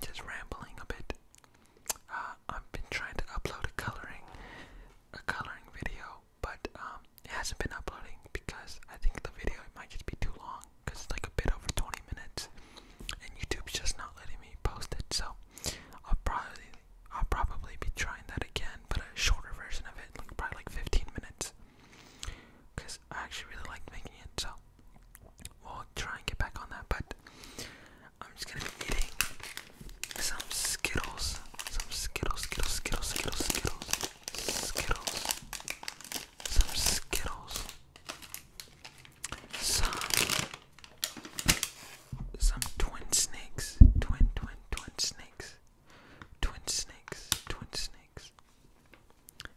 just rambling a bit. Uh, I've been trying to upload a coloring, a coloring video, but um, it hasn't been uploading because I think the video might just be too long because it's like a bit over 20 minutes, and YouTube's just not letting me post it. So I'll probably, I'll probably be trying that again, but a shorter version of it, like probably like 15 minutes, because I actually really like making it. So we'll try and get back on that, but I'm just gonna be eating some Skittles. Some Skittles, Skittles, Skittles, Skittles, Skittles, Skittles. Some Skittles. Some some twin snakes. Twin twin twin snakes. Twin snakes. Twin snakes.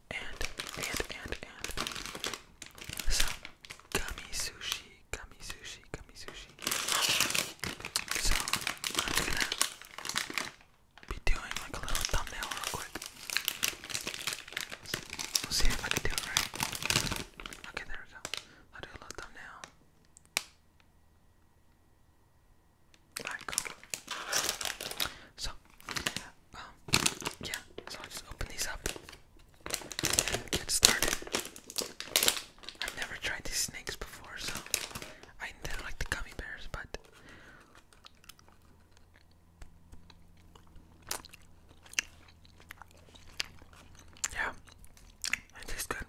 And and and and some gummy sushi gummy sushi, gummy sushi. So I'm just gonna be doing like a little thumbnail real quick. We'll see if I can do it right. Okay, there we go. I'll do a little thumbnail. Alright, So, um, yeah, so I'll just open these up get started. I've never tried these snakes before, so I didn't like the gummy bears, but yeah, it tastes good.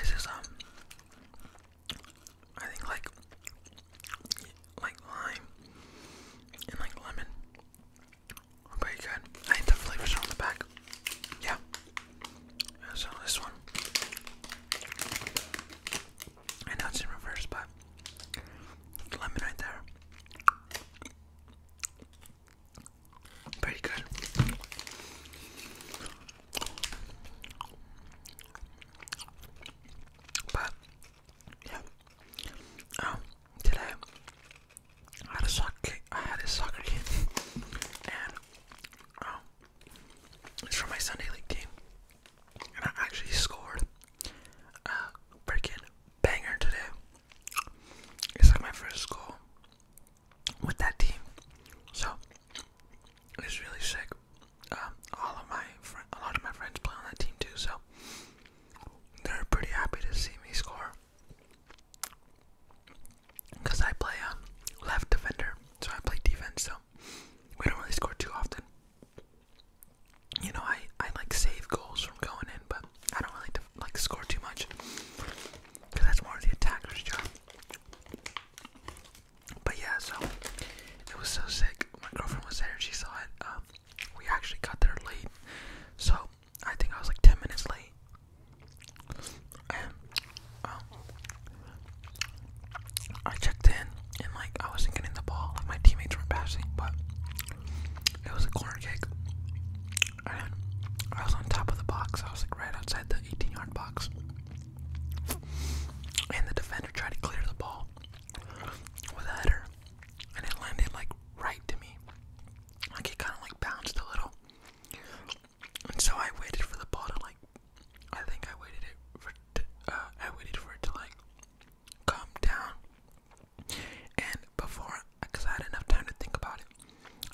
This is um, I think like like lime and like lemon. Oh, pretty good. I think the flavors on the back. Yeah. so this one. I know it's in reverse, but lemon right there. Pretty good. But yeah. Um, today I had a soccer kick. I had a soccer kit, and oh, it's from my Sunday league team, and I actually scored a freaking banger today. It's like my first goal with that team, so it's really sick. Um, all of my a lot of my friends play on that team too, so they're pretty happy to see me score. Because I play a left defender, so I play defense, so we don't really score too often. You know, I, I like save goals from going in, but I don't really like score too much. Because that's more of the attacker's job. But yeah, so it was so sick. My girlfriend was there, she saw it. Um, we actually got there late, so I think I was like 10 minutes late. And, um, I checked in and like I wasn't getting the ball, like my teammates were passing, but it was a corner kick. And I was on top of the box, I was like right outside the 18 yard box. And the defender tried to clear the ball with a header, and it landed like right to me. Like it kind of like bounced a little. And so I waited for the ball to like, I think I waited it for, uh, I waited for it to like come down. And before, because I had enough time to think about it,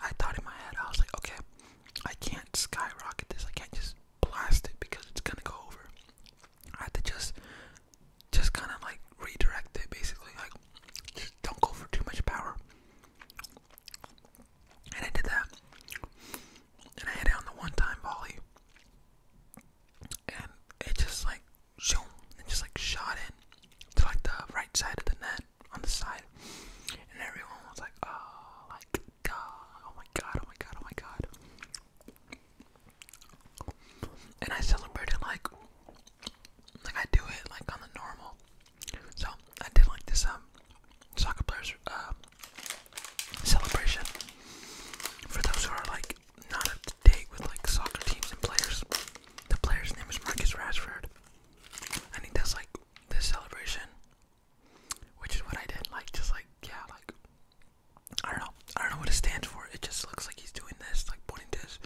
I thought in my head, I was like, okay, I can't skyrocket this. I can't just blast it because it's gonna go over. I had to just just kind of like redirect it basically like don't go for too much power and I did that and I hit it on the one time volley and it just like shoom just like shot in to like the right side of the net on the side and everyone was like oh like oh my god oh my god oh my god and I celebrate it like like I do it like on the normal. So I did like this um soccer players uh, celebration for those who are like not up to date with like soccer teams and players. The player's name is Marcus Rashford. I think that's like this celebration, which is what I did. Like just like yeah, like I don't know. I don't know what it stands for. It just looks like he's doing this, like pointing this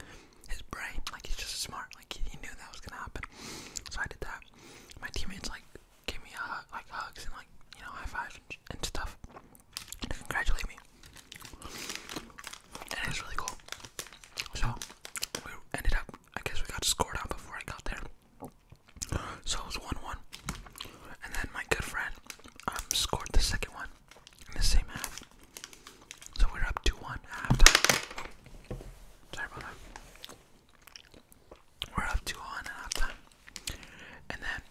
his brain. Like he's just smart. Like he, knew that was gonna happen. So I did that. My teammates like gave me a hug, like hugs and like you know high fives and, and stuff to congratulate me. And it was really cool. So we ended up. I guess we got scored on before I got there. So it was one one. And then my good friend um, scored the second one the same half. So we're up 2 1 at halftime. Sorry about that. We're up 2 1 at halftime. And then,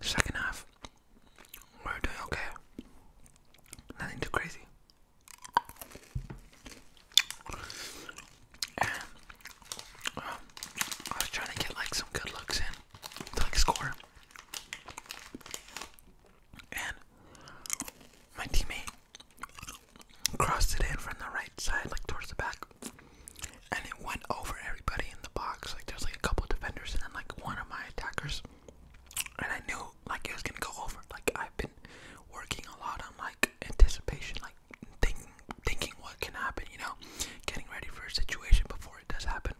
second half, we're doing okay. Nothing too crazy. I was trying to get like some good looks in like score. And my teammate crossed it in from the right side, like towards the back. And it went over everybody in the box. Like there's like a couple defenders and then like one of my attackers. And I knew like it was gonna go over. Like I've been working a lot on like anticipation, like thinking thinking what can happen, you know, getting ready for a situation before it does happen.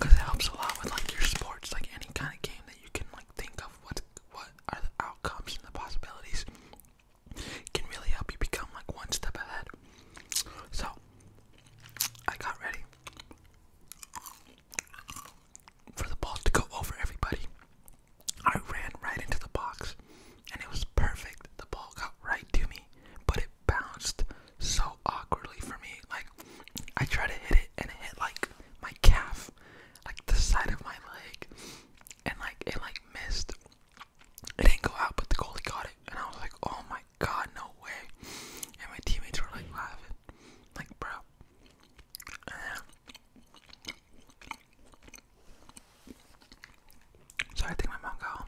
Cause it helps a lot with like your sports, like any kind of game that you can like think of what what are the outcomes and the possibilities can really help you become like one step ahead. So I got ready for the ball to go over everybody. I ran right into the box and it was perfect. The ball got right to me, but it bounced so awkwardly for me. Like I try to hit it and it hit like my calf, like the side of my leg, and like it like missed. It didn't go out, but the goalie got it, and I was like, "Oh my god, no way!" And my teammates were like laughing, like, "Bro." And I think my mom home.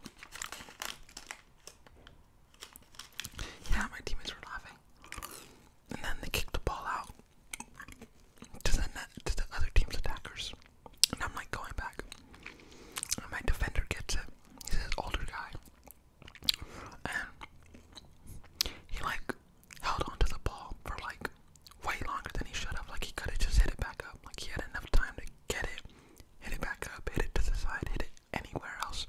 Yeah, my teammates were laughing. And then they kicked the ball out to the net, to the other team's attackers. And I'm like going back. my defender gets it. He's this older guy. And he like held onto the ball for like way longer than he should have. Like he could have just hit it back up. Like he had enough time to get it, hit it back up, hit it to the side, hit it anywhere else.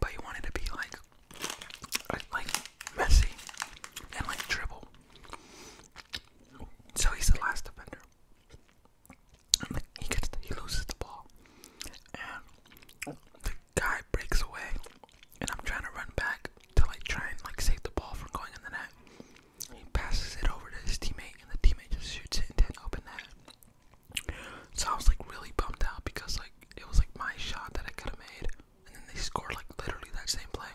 But he wanted to be like, like messy and like dribble. So he's the last defender. And he gets, he loses the ball, and the guy breaks away, and I'm trying to run back to like try and like save the ball from going in the net. He passes it over to his teammate, and the teammate just shoots it into an open net. So I was like really bummed out because like it was like my shot that I could have made, and then they scored like literally that same play.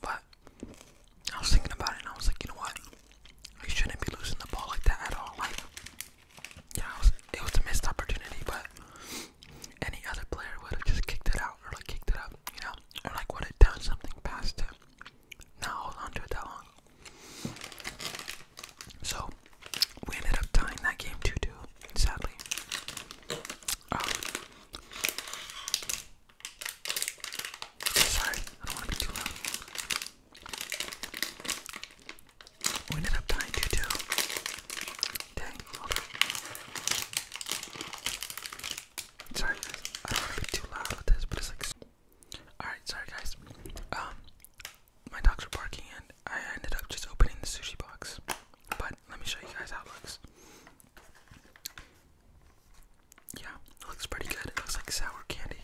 But I was thinking about it, and I was like, you know what? I shouldn't be losing the ball like that at all. Like, yeah, it was, it was a missed opportunity, but any other player would have just kicked it out or like kicked it up, you know, or like would have done something past him not hold on to it that long. So we ended up tying that game 2 2, sadly. Um, sorry, I don't want to be too loud. We ended up tying 2 2. Dang, Sorry, I don't want to be too loud with this, but it's like. Alright, sorry guys. Um, my dogs were barking and I ended up just opening the sushi box. But let me show you guys how it looks. Yeah, it looks pretty good. It looks like sour candy.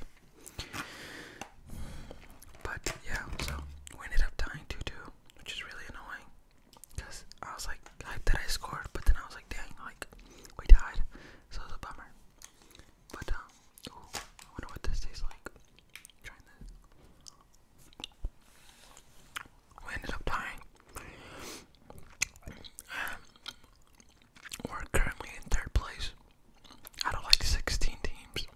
But yeah, so we ended up dying 2 2, which is really annoying. Because I was like, hyped that I scored, but then I was like, dang, like, we died. So it was a bummer. But, um, I wonder what this tastes like. trying this. We ended up dying. Um, we're currently in third place I don't like 16 teams.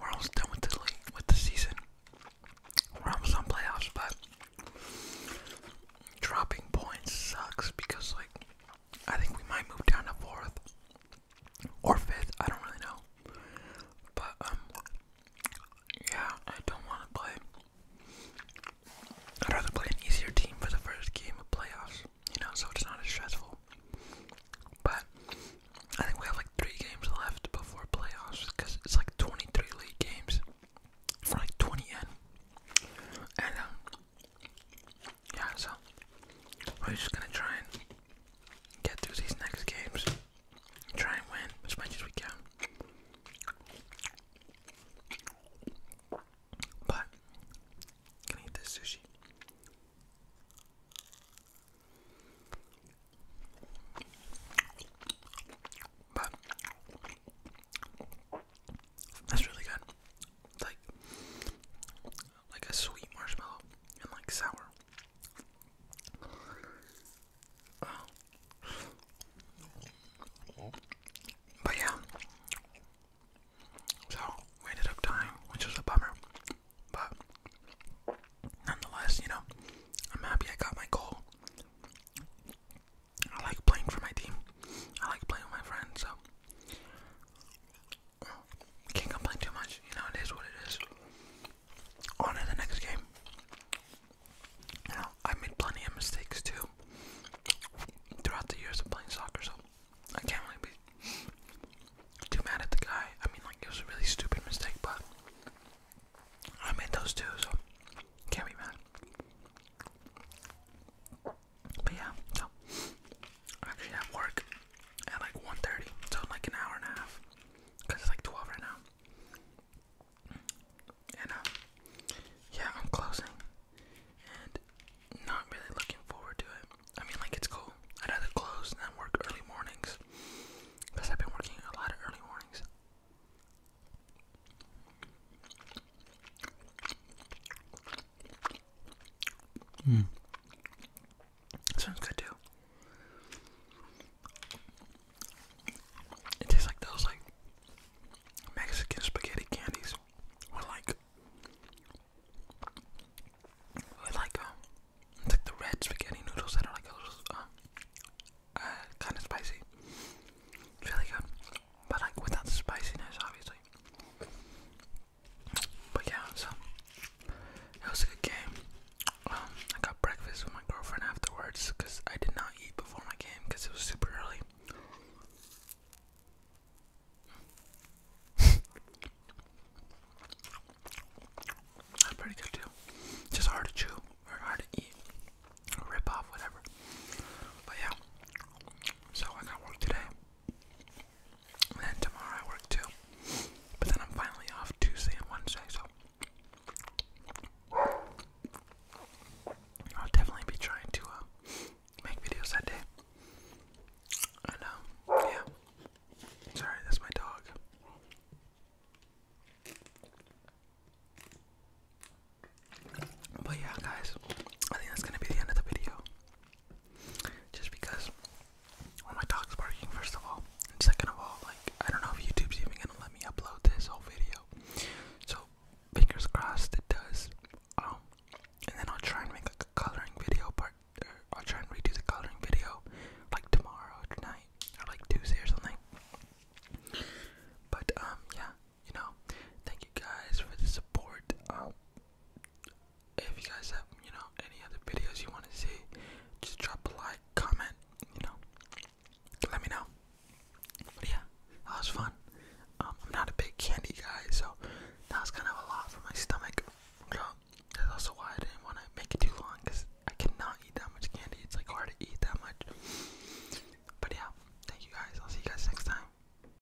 we're almost done with the league, with the season. We're almost on playoffs, but dropping points sucks because like I think we might move down to fourth or fifth. I don't really know. But um, yeah, I don't want to play. I'd rather play an easier team for the first game of playoffs, you know, so it's not as stressful. But I think we have like three games left before playoffs because it's like 23 league games for like 20 in. And um, yeah, so we're just gonna try and get through these next games. Try and win as much as we can. But can I eat this sushi? But that's really good. Like like a sweet marshmallow and like sour. But yeah. So we ended up dying, which was a bummer. But nonetheless, you know, I'm happy I got my goal. I like playing for my team. I like playing with my friends, so can't complain too much. You know, it is what it is. On to the next game. You know, I made plenty of mistakes too throughout the years of playing soccer, so I can't really be too mad at the guy. I mean, like, it was a really stupid mistake, but I made those too, so can't be mad. But yeah, so I'm actually at work at like 1.30, so like an hour and a half, because it's like 12 right now. And uh, yeah, I'm closing and not really looking forward to it. I mean, like, it's cool. I'd rather close than work early mornings, because I've been working a lot of early mornings. Mm. Sounds good too. It tastes like those like Mexican spaghetti candies with like like um, it's like the red spaghetti noodles that are like those um, uh, uh kind of spicy. really good, but like without the spiciness, obviously. But yeah, so it was a good game. Um, I got breakfast with my girlfriend afterwards because I did not eat before my game because it was super early. That's pretty good too. Just hard to chew or hard to eat, rip off, whatever. But yeah, so I got work today. And tomorrow I work too. But then I'm finally off Tuesday and Wednesday, so I'll definitely be trying to uh, make videos that day. I know, um, yeah. Sorry, that's my dog. But yeah, guys, I think that's gonna be the end of the video. Just because when my dog's barking, first of all, and second of all, like I don't know if YouTube's even gonna let me upload this whole video. So fingers crossed it does. Um, and then I'll try and make a coloring video part. Or I'll try and redo the coloring video like tomorrow or tonight or like Tuesday or something. But um, yeah, you know, thank you guys for the support. Um, if you guys have, you know, any other videos you want to see, just drop a like, comment, you know, let me know. yeah, that was fun. Um, I'm not a big candy guy, so that was kind of a lot for my stomach. that's also why I didn't want to make it too long, because I cannot eat that much candy. It's like hard to eat that much. But yeah, thank you guys. I'll see you guys next time.